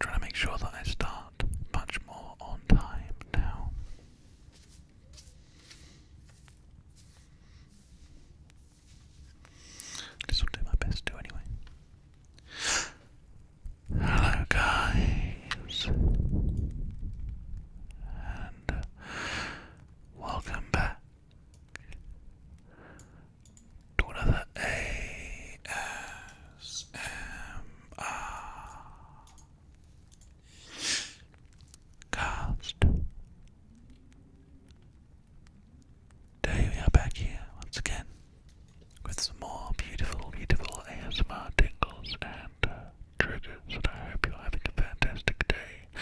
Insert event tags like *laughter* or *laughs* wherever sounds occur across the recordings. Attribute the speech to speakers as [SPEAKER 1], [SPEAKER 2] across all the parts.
[SPEAKER 1] Trying to make sure that I start much more on time now. This will do my best to anyway. Hello, guys, and welcome back to another ASMR cast. Today we are back here once again with some more beautiful, beautiful ASMR tingles and uh, triggers, and I hope you're having a fantastic day.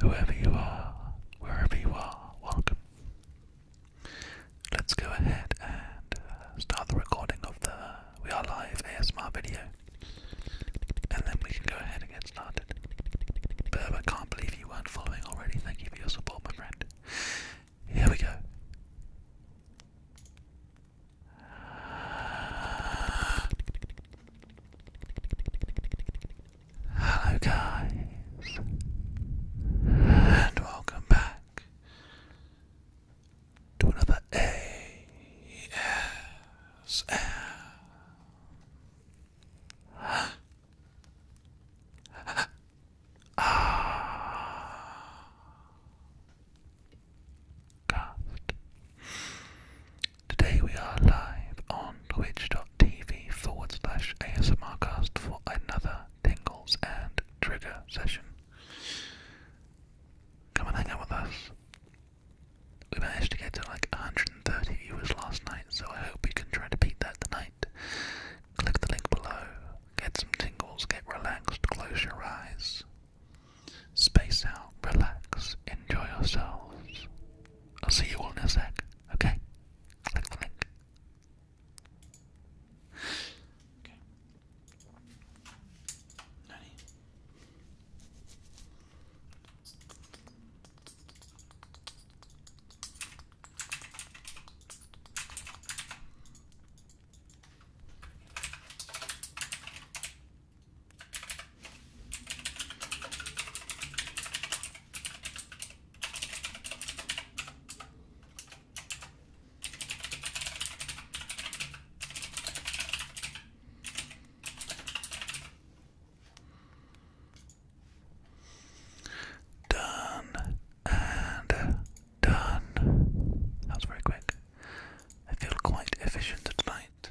[SPEAKER 1] Whoever you are, wherever you are, welcome. Let's go ahead and uh, start the recording of the We Are Live ASMR video. And then we can go ahead and get started. But can't believe you weren't following already. Thank you for your support, my friend. Here we go. Hello, guys, and welcome back to another ASM *gasps* ah, cast. Today we are live on twitch.tv forward slash ASMRcast for another Tingles and Trigger session. Come and hang out with us. We managed to get to like 130 viewers last night, so I hope we can try to beat that tonight. Click the link below, get some tingles, get relaxed, close your eyes, space out, relax, enjoy yourselves. I'll see you all in a sec, okay? Okay. Nani? Done and done. That was very quick. I feel quite efficient tonight.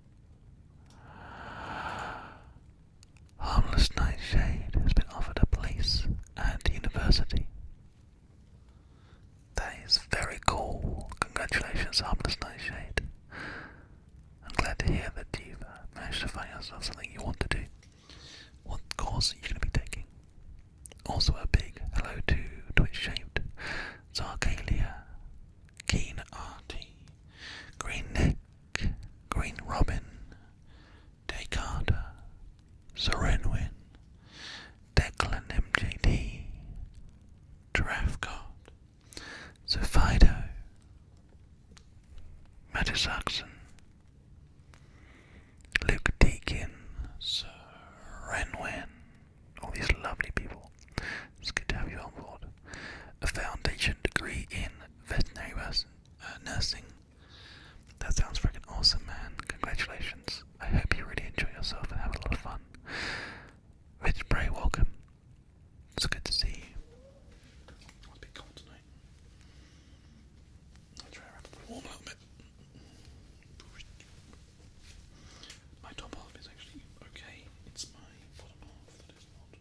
[SPEAKER 1] Harmless Nightshade has been offered a place at university. That is very cool. Congratulations, Harmless Nightshade. I'm glad to hear that you've uh, managed to find yourself something you want to do. What course are you going to be taking? Also, a big hello to Twitch shaped Zarkalia Keen Artie, Green Neck, Green Robin, Descarter, Serenwin, Declan MJD, Giraffe God, Zephido, Metasaxon, Luke Deakin, Sir Renwen, all these lovely people. It's good to have you on board a foundation degree in veterinary uh, nursing. That sounds freaking awesome, man. Congratulations. I hope you really enjoy yourself and have a lot of fun. Rich Bray, welcome. It's good to see you. It's a bit cold tonight. I'll try and wrap up warm little bit. My top half is actually okay. It's my bottom half that is not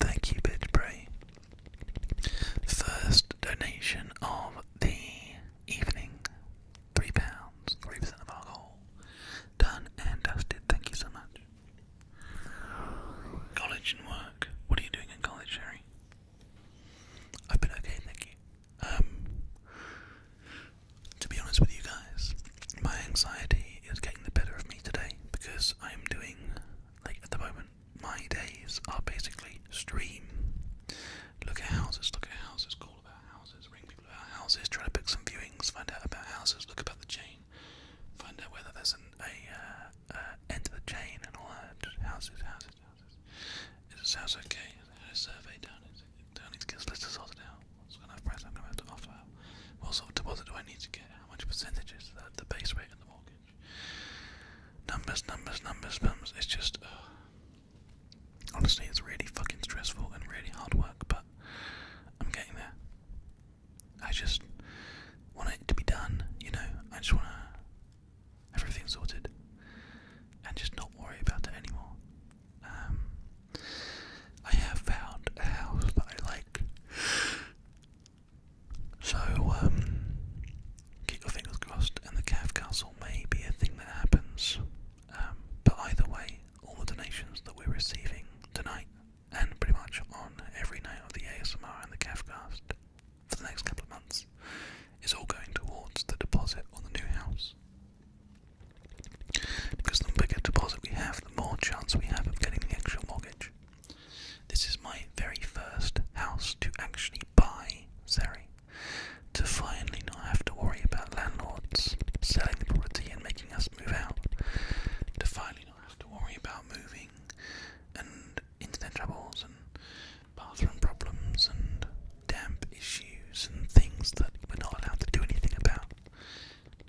[SPEAKER 1] Thank you, Bidbray. First donation of the evening. Three pounds, three percent of alcohol. Done and dusted. Thank you so much. College and work. What are you doing in college, Sherry? I've been okay, thank you. Um, to be honest with you guys, my anxiety is getting the better of me today because I'm doing, like at the moment, my days are basically stream. Look at houses, look at houses, call about houses, ring people about houses, try to book some viewings, find out about houses, look about the chain. Find out whether there's an uh, uh, end to the chain and all that. Houses, houses, houses. Is this house okay? survey down? Is it down? Needs to get list out. What's kind of price I'm gonna have to offer? What sort of deposit do I need to get? How much percentage is that? The base rate and the mortgage. Numbers, numbers, numbers, numbers. It's just. Honestly, it's really fucking stressful and really hard work, but I'm getting there. I just want it to be done, you know. I just want everything sorted and just not worry about it anymore. Um, I have found a house that I like. So, um, keep your fingers crossed, and the Cav Castle may be a thing that happens. Um, but either way, all the donations that we're receiving tonight and pretty much on every night of the ASMR and the CAFcast for the next couple of months is all going towards the deposit on the new house. Because the bigger deposit we have, the more chance we have of getting the actual mortgage. This is my very first house to actually buy Zeri, to finally not have to worry about landlords selling the property and making us move out, to finally have to worry about moving and internet troubles and bathroom problems and damp issues and things that we're not allowed to do anything about.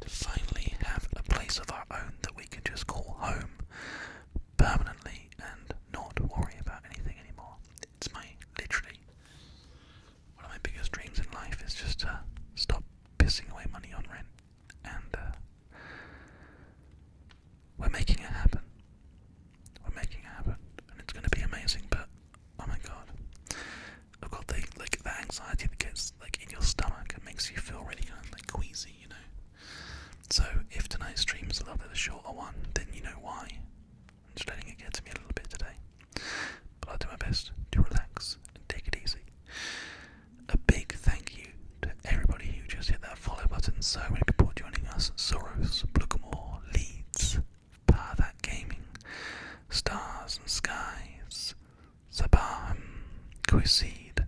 [SPEAKER 1] To finally have a place of our own that we can just call home permanently and not worry about anything anymore. It's my literally one of my biggest dreams in life is just to stop pissing away money on rent and uh, we're making it happen. We're making it happen, and it's going to be amazing. But oh my god, I've got the like the anxiety that gets like in your stomach and makes you feel really kind of like queasy, you know. So if tonight's stream is a little bit of a shorter one, then you know why. I'm just letting it get to me a little bit today, but I'll do my best to relax and take it easy. A big thank you to everybody who just hit that follow button. So many people joining us Soros, Blookamore, Leeds, Par That Gaming, Stars and Skies, Sabaham, Quiseed,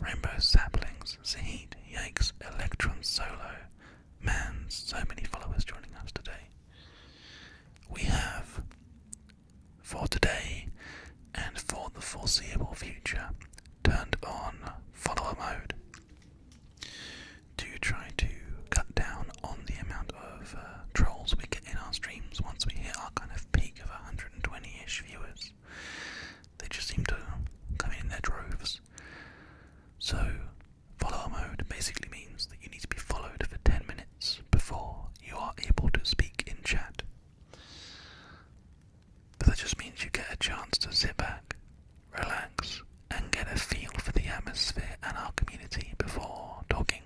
[SPEAKER 1] Rainbow Saplings, Zahid, Yaks, Electron Solo. Man, so many followers joining us today. We have for today and for the foreseeable future turned on follower mode to try to cut down on the amount of uh, trolls we get in our streams once we hit our kind of peak of 120-ish viewers. They just seem to come in their droves. So, follower mode basically means that you need to be followed for 10 minutes before you are able to speak in chat. But that just means you get a chance to sit back, relax, and get a feel for the atmosphere and our community before talking.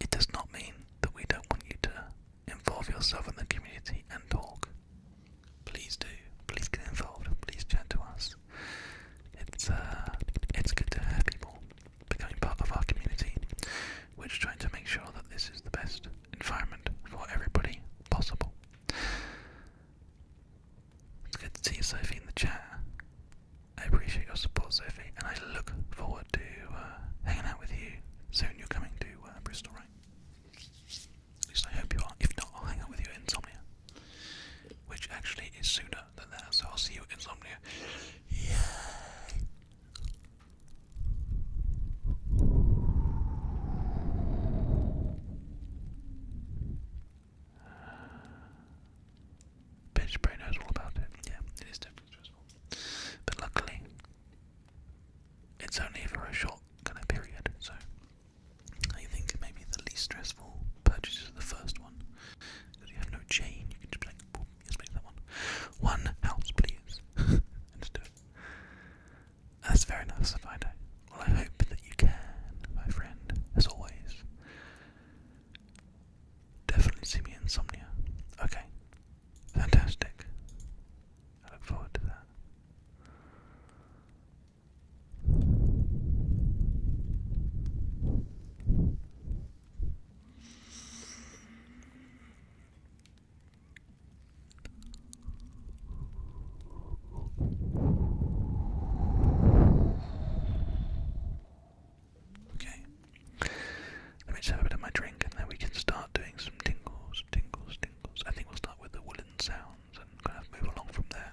[SPEAKER 1] It does not mean that we don't want you to involve yourself in the community and talk. Please do. Please get involved. Please chat to us. It's uh, it's good to have people becoming part of our community. We're just trying to make sure that this is the best environment for everybody possible. It's good to see Sophie, in the chat. I appreciate your support, Sophie, and I look forward to uh, hanging out with you soon. You're coming to uh, Bristol, right? At least I hope you are. If not, I'll hang out with you at Insomnia, which actually is sooner than that, so I'll see you at Insomnia. Yay! Bitch brain knows all about it. Yeah, it is definitely stressful. But luckily, it's only for a short kind of period, so I think maybe the least stressful purchase is the first one. Because you have no chain, you can just like, Yes, please, that one. One house, please. Let's do it. That's very nice of Fido. Well, I hope that you can, my friend, as always. Definitely see me insomnia. Okay. Fantastic. I look forward to that. Okay. Let me just have a bit of my drink and then we can start doing some tingles, tingles, tingles. I think we'll start with the woolen sounds and kind of move along from there.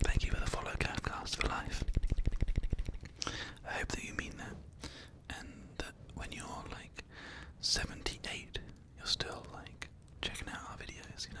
[SPEAKER 1] Thank you for the follow, Capcast for life. I hope that you mean that and that when you're like 78, you're still like checking out our videos, you know.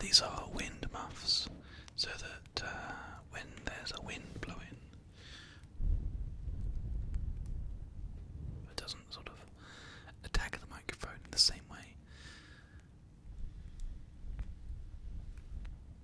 [SPEAKER 1] These are wind muffs so that uh, when there's a wind blowing, it doesn't sort of attack the microphone in the same way.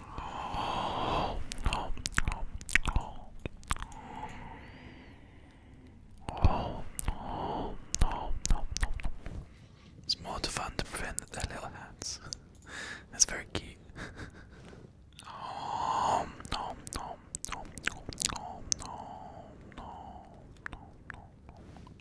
[SPEAKER 1] Oh, oh, oh, oh. Oh, no, no, no, no. It's more fun to prevent their little hats. *laughs* That's very cute. oh, no, no, no, no, no, no, no, no, no.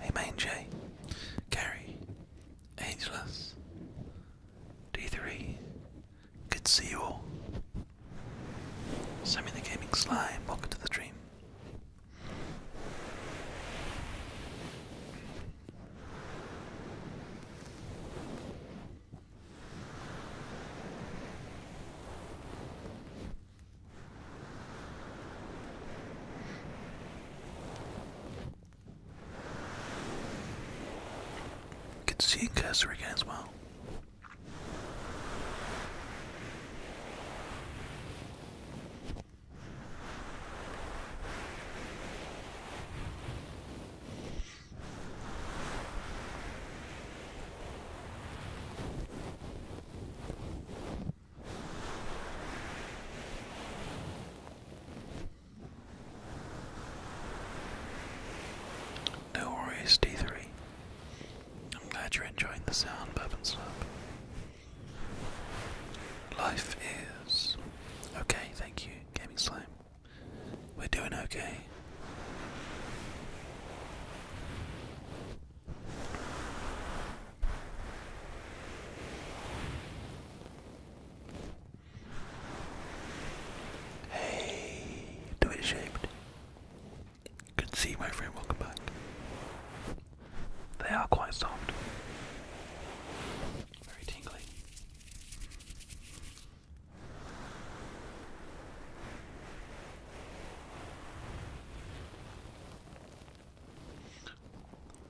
[SPEAKER 1] Hey Main J, Gary, Angelus, D3, good to see you all. Send me the Gaming Slime, welcome to the dream. You can see Costa Rica as well. No worries, D3. I'm glad you're enjoying the sound, bub and Slab. Life is okay, thank you, Gaming Slime. We're doing okay. Hey, do it shaped. Good to see you, my friend. Welcome back. They are quite soft. Very tingly.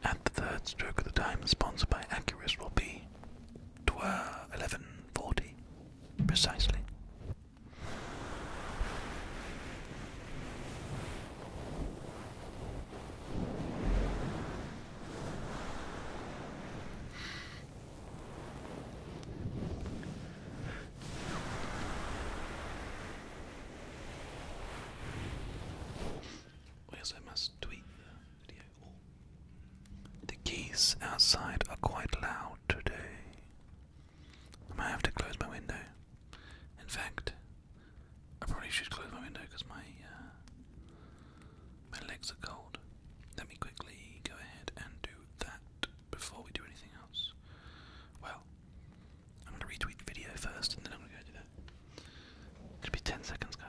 [SPEAKER 1] At the third stroke of the time, sponsored by Acurus will be 1140 precisely. I guess must tweet the video. The geese outside are quite loud today. I might have to close my window. In fact, I probably should close my window because my uh, my legs are cold. Let me quickly go ahead and do that before we do anything else. Well, I'm gonna retweet the video first and then I'm gonna go do that. It going be 10 seconds, guys.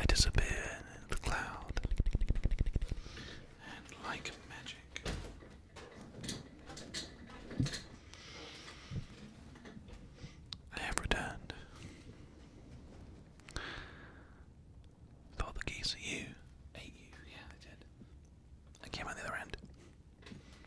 [SPEAKER 1] I disappear in the cloud, and like magic, I have returned. Thought the geese Ate you, I came out the other end.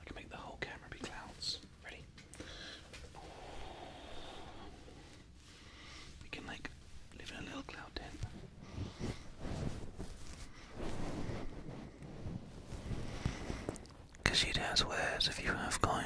[SPEAKER 1] I can make the whole camera be clouds. Ready? We can like live in a little cloud tent. Cause you'd have wares if you have coin.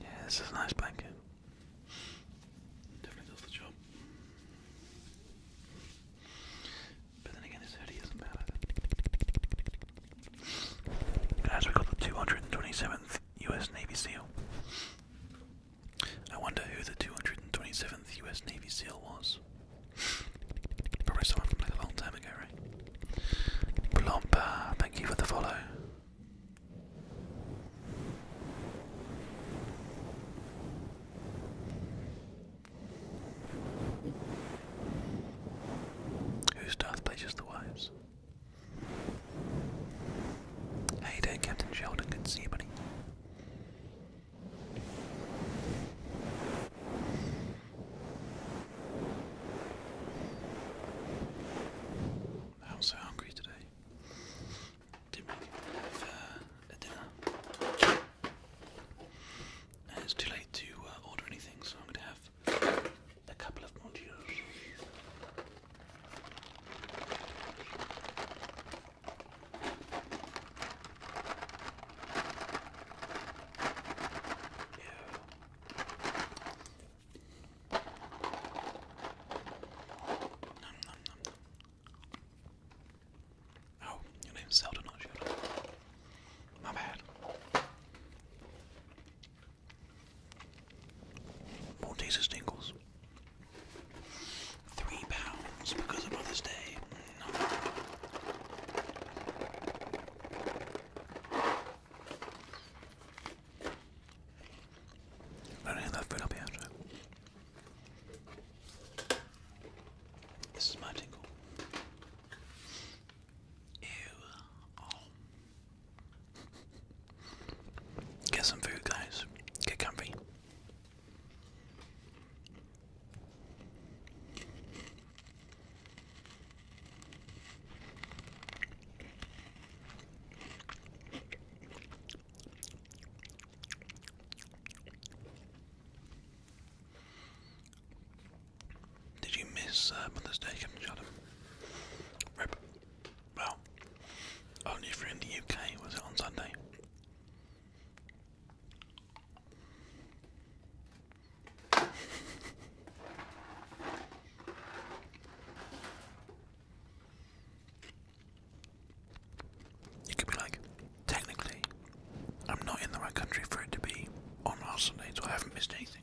[SPEAKER 1] Yeah, this is a nice blanket. Definitely does the job. But again, this hoodie isn't bad either. Guys, we got the 227th U.S. Navy SEAL. I wonder who the 227th U.S. Navy SEAL was. Probably someone from like a long time ago, right? Blompa, thank you for the follow. Whose death pleasures the wives? Hey you Captain Sheldon? Good to see you, buddy. I'm so hungry today. Didn't make uh, a dinner. it's too late to uh, order anything, so I'm going to have a couple of modules. Yeah. Nom, nom, nom. Oh, your name's not Zelda. My bad. Maltesers tingles. Three pounds because of Mother's Day. Mm. No. that food up here, This is my tingle. Ew. Oh. Get some food, guys. Get comfy. Did you miss uh, Mother's Day? Captain Rip. Well, only if you're in the UK, was it on Sunday? You could be like, technically, I'm not in the right country for it to be on last so I haven't missed anything.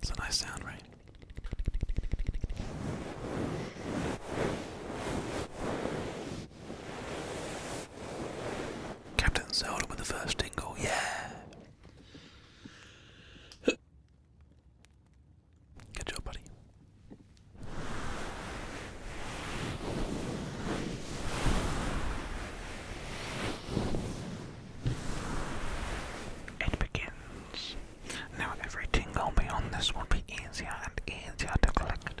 [SPEAKER 1] It's a nice sound, right? Captain Zelda with the first tingle, yeah! Good job, buddy. It begins. Now Everything tingle beyond this will be easier and easier to collect.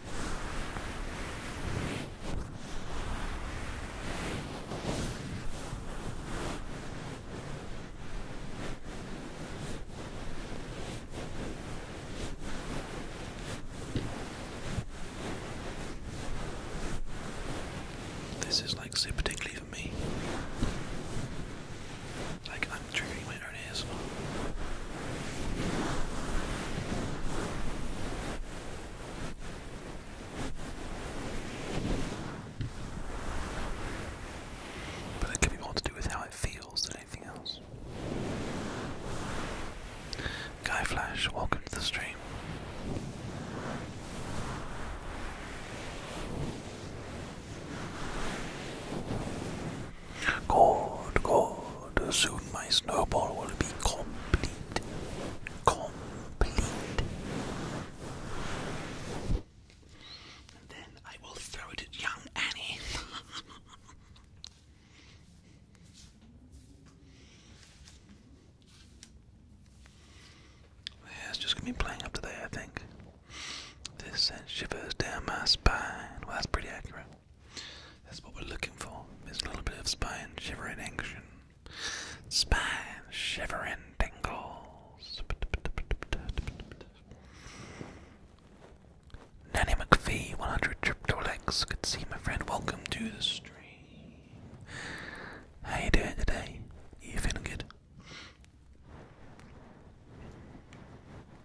[SPEAKER 1] This is like super tickly for me. Like I'm triggering my own ASMR. But that could be more to do with how it feels than anything else. Guy Flash, welcome to the stream. God, God, soon my snowball will be complete. Complete. then I will throw it at young Annie. *laughs* yeah, it's just gonna be playing up today, I think. This sends uh, shivers down my spine. Well, that's pretty accurate. That's what we're looking for. There's a little bit of spine shivering action. Spine shivering tingles. Nanny McPhee, 100 crypto Good to see my friend. Welcome to the stream. How you doing today? You feeling good?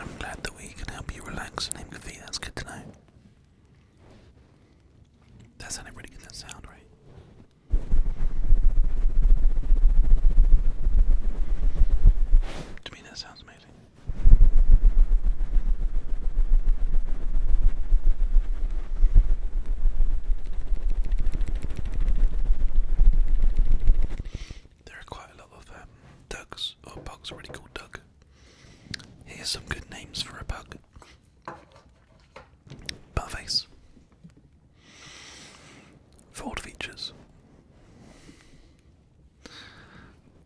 [SPEAKER 1] I'm glad that we can help you relax and a empathy, that's good to know. That sounded pretty good, that sound, right? To me, that sounds amazing. There are quite a lot of um, ducks, or oh, bugs, already called duck. Here's some good names for a bug. Buttface. Forward features.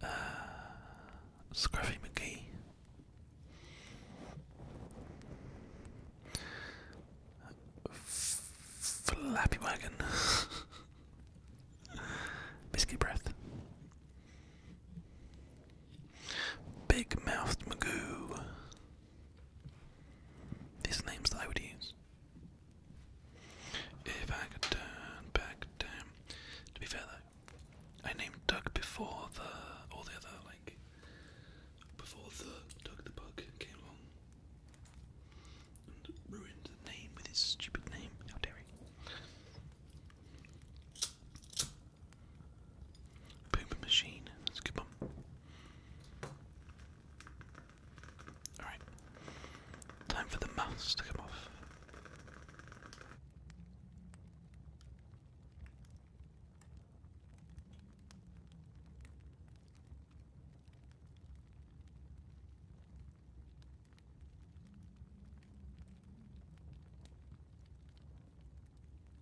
[SPEAKER 1] Uh, Scruffy McGee. Flappy Wagon. *laughs* Biscuit Breath. Big Mouthed Magoo. These names I would use. If I could turn back time. To be fair though, I named Doug before the all the other like before the Doug the Bug came along and ruined the name with his stupid name. How dare he? Poop machine. That's a good one. Alright. Time for the mask to come off.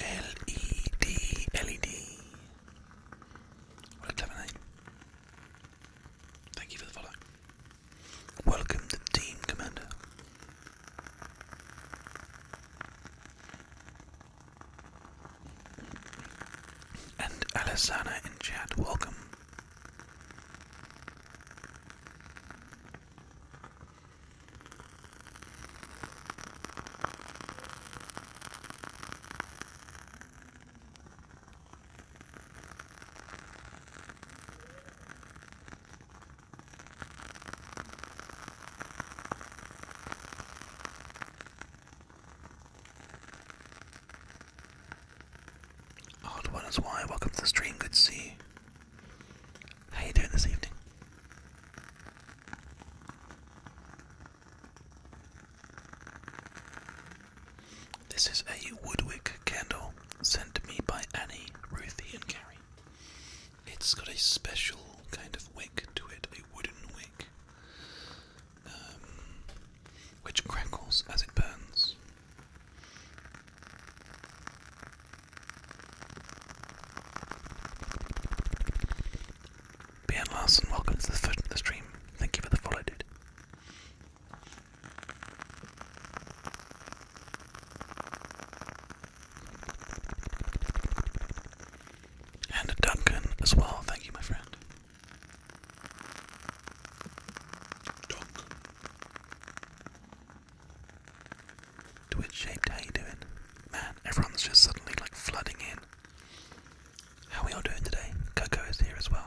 [SPEAKER 1] LED, LED. What a clever name. Thank you for the follow. Welcome to Team Commander. And Alisana and Chad, welcome. Odd one is why. Welcome to the stream. Good to How you doing this evening? This is a Woodwick candle sent to me by Annie, Ruthie, and Carrie. It's got a special kind of wick to it, a wooden wick. Um, which crackles as it burns. Bjorn Larson, welcome to the stream. Thank you for the follow, dude. And Duncan as well, thank you, my friend. Dog. Twitch shaped, how you doing? Man, everyone's just suddenly like flooding in. How are y'all doing today? Coco is here as well.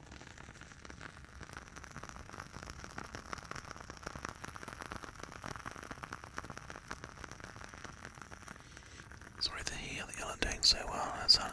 [SPEAKER 1] Sorry to hear that you're doing so well, as a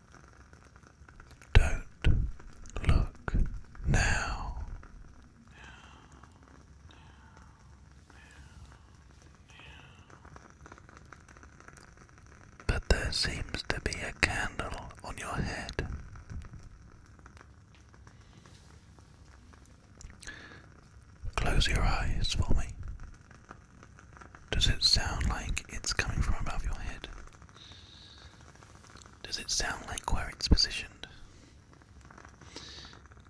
[SPEAKER 1] Don't look now. But there seems to be a candle on your head. Close your eyes for me. Does it sound like it's coming from above your head? Does it sound like where it's positioned?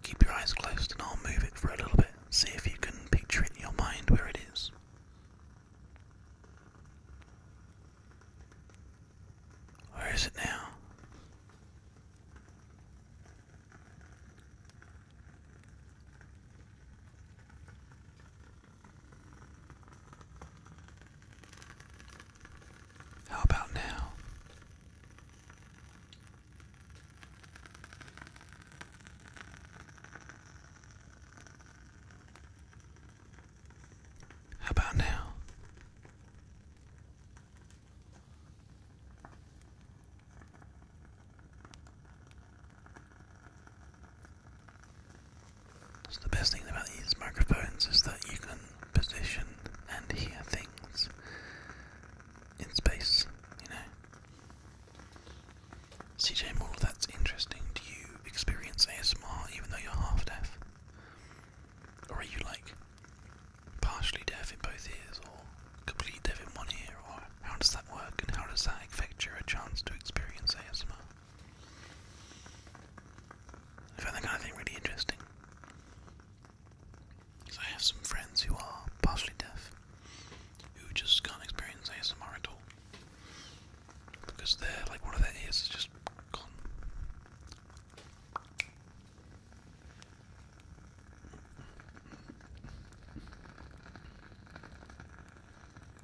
[SPEAKER 1] Keep your eyes closed and I'll move it for a little bit. See if you can picture in your mind where it is. Where is it now? How about now? How about now? So the best thing about these microphones is that you can position and hear things in space, you know. CJ Moore, that's interesting. Do you experience ASMR even though you're half deaf? Or are you like partially deaf in both ears or complete deaf in one ear? Or how does that work and how does that affect your chance to experience ASMR? I found that kind of thing really interesting. Because I have some friends who are partially deaf, who just can't experience ASMR at all. Because they like, one of their ears is just gone.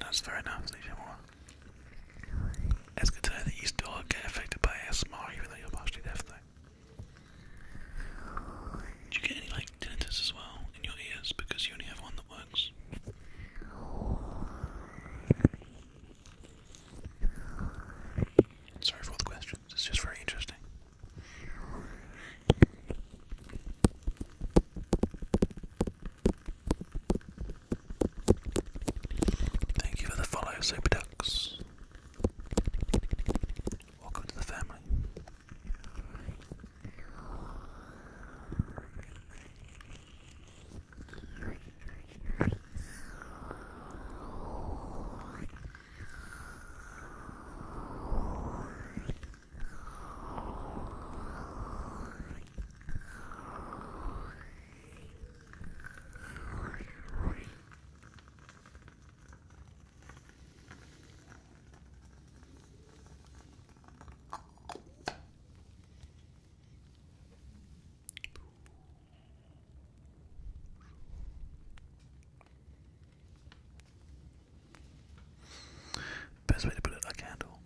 [SPEAKER 1] That's very nice, Lisa Moore. That's good to know that you dog get affected by ASMR even though you're partially deaf Do you get any like tinnitus as well in your ears because you only have one that works? Sorry for all the questions, it's just very interesting. Thank you for the follow, Super Ducks. Welcome to the family. Best way to put it, a candle.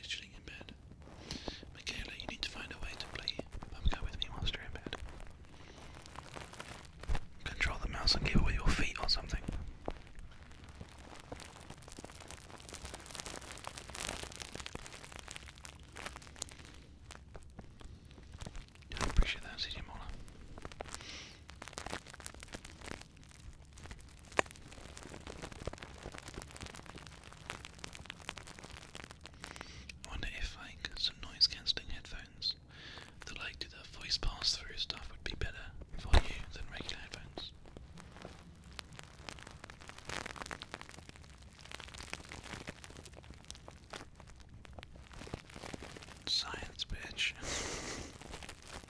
[SPEAKER 1] is chilling in bed. Michaela, you need to find a way to play Pumco with me whilst you bed. Control the mouse and give away your feet or something. I appreciate that, CJ Mola wonder if like some noise cancelling headphones that like do the voice pass through stuff would be better for you than regular headphones. Science bitch. *laughs*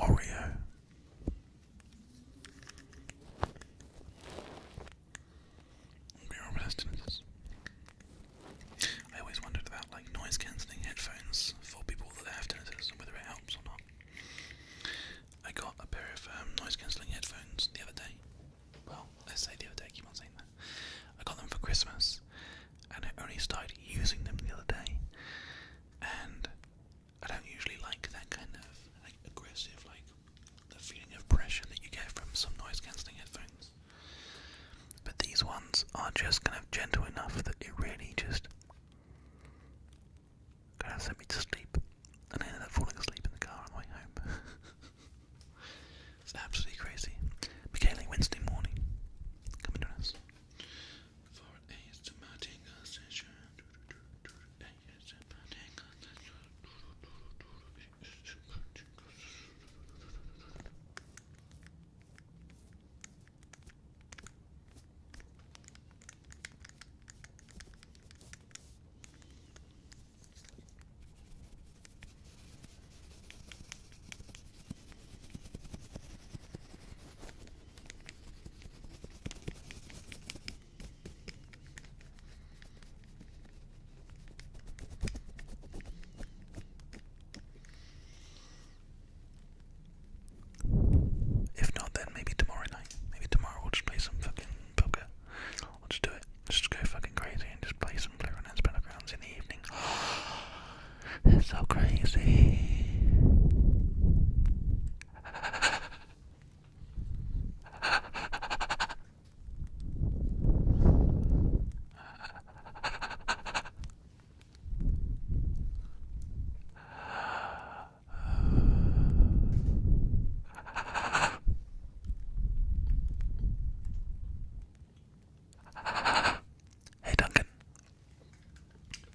[SPEAKER 1] Oreo. Mirror resistances. I always wondered about like noise cancelling headphones for people that have tinnitus and whether it helps or not. I got a pair of um, noise cancelling headphones the other day. Well, let's say the other day, keep on saying that. I got them for Christmas and I only started using them the other day. And I don't usually like that kind of like aggressive, like the feeling of pressure that you get from some noise cancelling headphones. But these ones are just kind of gentle enough that it really just kind of sent me to sleep. And I ended up falling asleep in the car on the way home. *laughs* it's absolutely crazy. Michaela Wednesday morning. Coming to us for an ASMR session. If not, then maybe tomorrow night. Maybe tomorrow we'll just play some fucking poker. We'll just do it. Just go fucking crazy and just play some Blue Run and Battlegrounds in the evening. *gasps* *gasps* It's so crazy. Hey Duncan,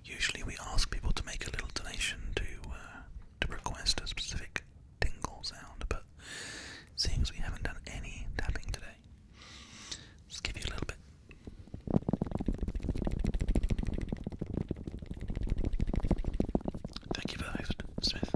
[SPEAKER 1] Usually, we ask people to make a little donation to uh, to request a specific tingle sound, but seems we haven't done any tapping today, just give you a little bit. Thank you for Smith.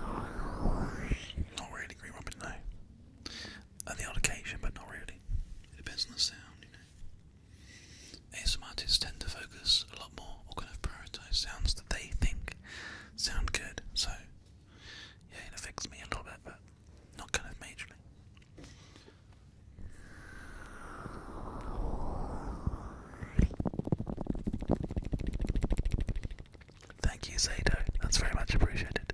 [SPEAKER 1] Not really Green Robin, no. On the odd occasion, but not really. It depends on the sound, you know. ASM tend to focus a lot more or kind of prioritise sounds that they think sound good, so yeah, it affects me a little bit, but not kind of majorly. Thank you, Zato. That's very much appreciated.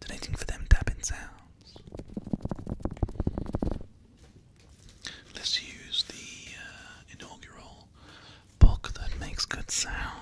[SPEAKER 1] Donating for them tapping sounds. Let's use the uh, inaugural book that makes good sounds.